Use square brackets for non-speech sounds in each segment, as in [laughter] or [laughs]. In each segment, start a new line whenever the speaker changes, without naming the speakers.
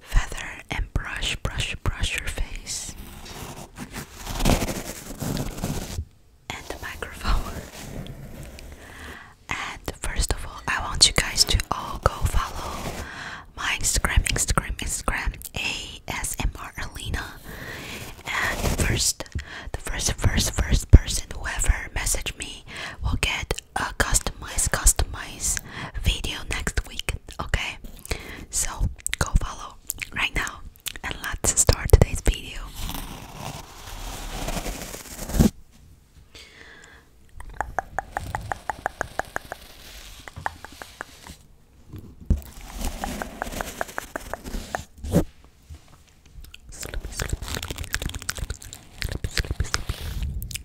feather and brush, brush, brush your face. And the microphone. And first of all, I want you guys to all go follow my Instagram, Instagram, Instagram, ASMR Alina. And first, the first, first, first person whoever message me will get a customize customize video next week okay so go follow right now and let's start today's video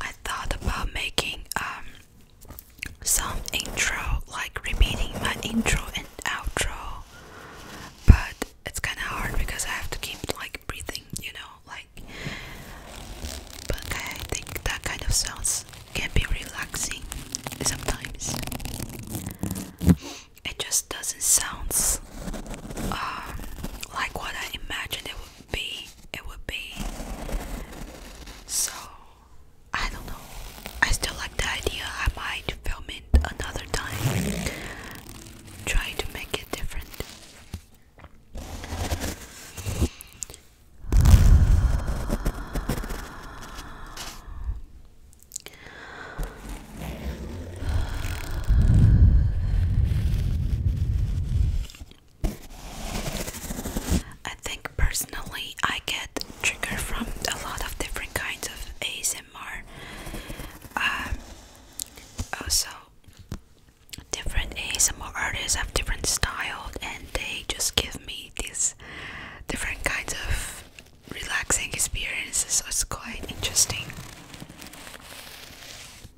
I thought about making um some intro like repeating my intro and outro but it's kind of hard because I have to keep like breathing you know like but I think that kind of sounds can be relaxing sometimes it just doesn't sound um, like what I imagined it would be it would be so I don't know I still like the idea I might film it another time try to make it different I think personally I get triggered from a lot of different kinds of ASMR. Um, also, different ASMR artists have different styles, and they just give me these different kinds of relaxing experiences. So it's quite interesting.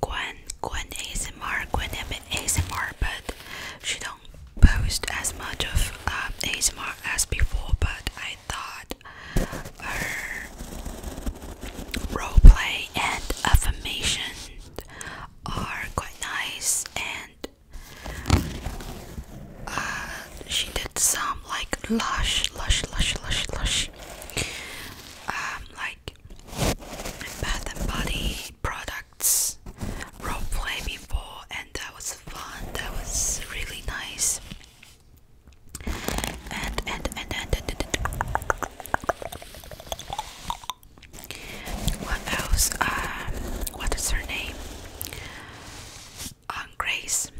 Gwen, Gwen ASMR, Gwen ASMR, but she don't post as much of uh, um, ASMR as before. But I thought her roleplay and affirmation are quite nice, and uh, she did some like lush, lush, lush, lush, lush, um, like and Body products, role before, and that was fun. That was really nice. And and and and, and, and, what else? Um, what is her name? Um, Grace.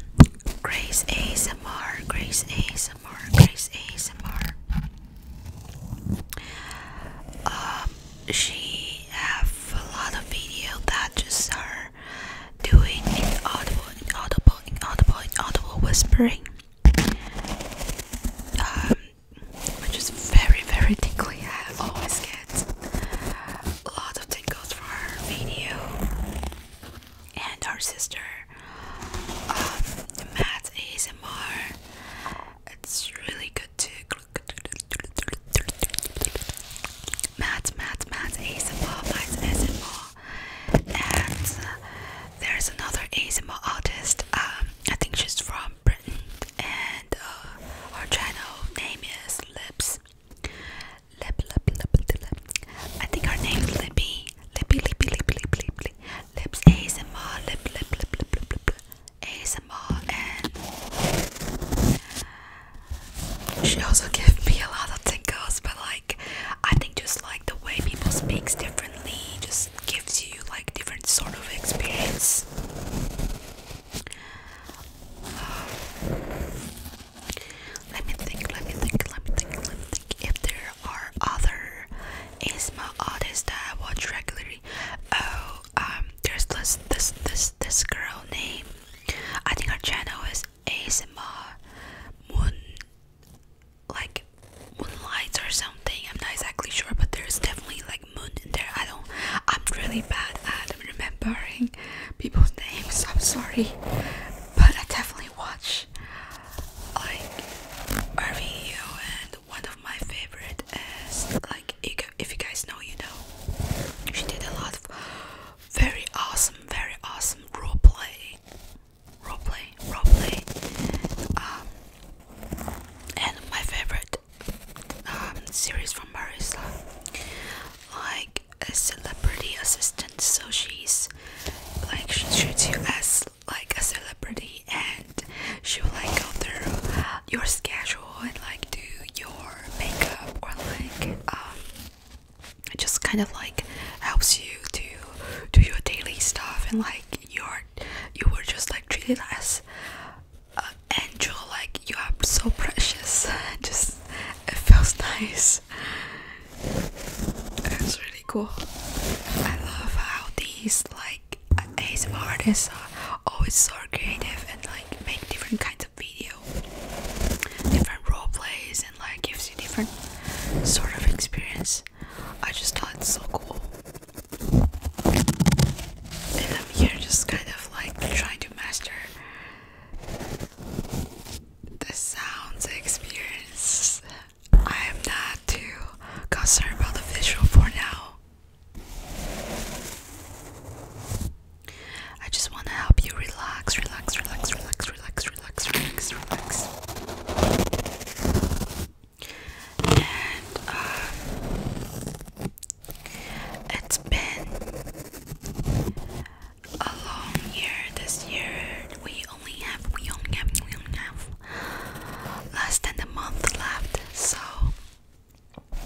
Grace ASMR. Grace ASMR. Grace ASMR. Um, she has a lot of video that just are doing inaudible, inaudible, inaudible, inaudible whispering. Um, which is very, very tickly. I always get a lot of tingles for her video and her sister um, Matt ASMR. It's really good to Matt, Matt, Matt ASMR, Matt ASMR. And uh, there's another ASMR artist. Um, I think she's from Britain, and uh, her channel name is Lips. Lip, lip, lip, lip, lip. I think her name's Lippy. Lippy, Lippy, Lippy, Lippy, Lippy, Lips ASMR, lip, lip, lip, lip, lip, lip, lip. and she also gave me a lot of tingles, but like, I think just like the way people speaks differently just gives you like different sort of experience. let me think, let me think, let me think, let me think if there are other ASMR artist that I watch regularly. Oh, um, there's this this this this girl name. I think her channel is ASMR Moon, like Moonlights or something. I'm not exactly sure, but there's definitely like moon in there. I don't. I'm really bad at remembering people's names. I'm sorry, but I definitely watch like her and one of my favorite is like if you guys know, you know, she did a lot of very awesome, very awesome role play, role play, role play. Um, and my favorite um, series from her like, like a celebrity assistant. So she's like she treats you as like a celebrity and she will like go through your schedule and like do your makeup or like it um, just kind of like helps you to do your daily stuff and like you're you were just like treated as an angel like you are so precious [laughs] just it feels nice it's really cool I love how these like like ASMR artists always so creative and like make different kinds of video, different role plays, and like gives you different sort of experience. I just thought it's so cool, and I'm here just kind of like trying to master the sounds experience I am not too concerned about the visual for now. I just want to help you relax, relax, relax, relax, relax, relax, relax, relax. And um, it's been a long year this year. We only have, we only have, we only have less than a month left so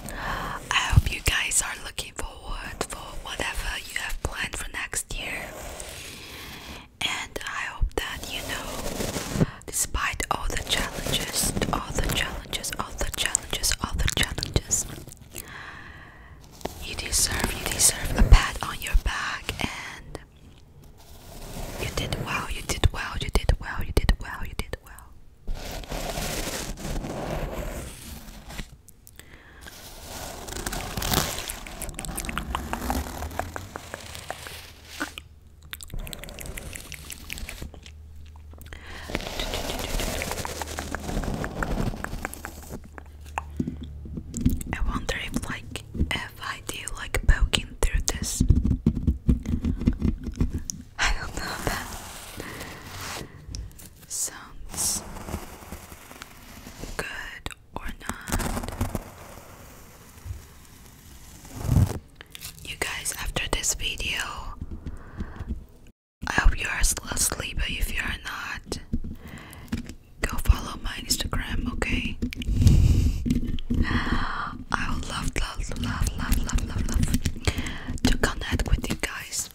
I hope you guys are looking forward for whatever you have planned for next year. And I hope that you know despite all the challenges, all the challenges, all the challenges, all the challenges you deserve you deserve a pat on your back and you did well, you did well, you did well, you did well, you did well. I wonder if like have idea like poking through this. I don't know that sounds good or not. You guys, after this video, I hope you are still asleep, but if you are not, go follow my Instagram, okay? I would love, love, love, love, love, love, love to connect with you guys.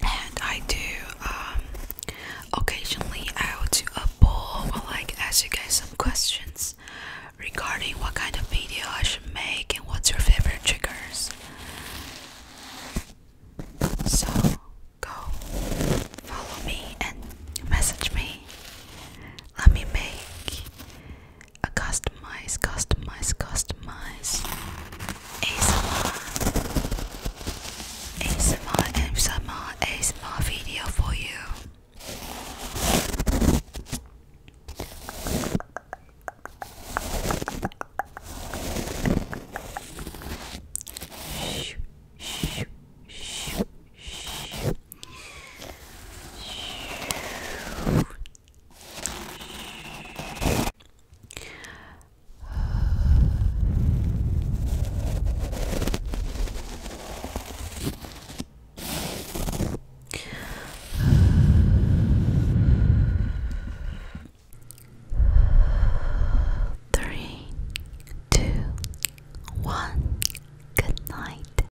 And I do, um, occasionally I will do a poll or like ask you guys some questions regarding what kind of video I should make and what's your favorite triggers. So go follow me and message me. Let me make a customize, customize, customize ASMR, ASMR, ASMR, ASMR video for you. Shoo, shoo, shoo. Three, two, one. Good night.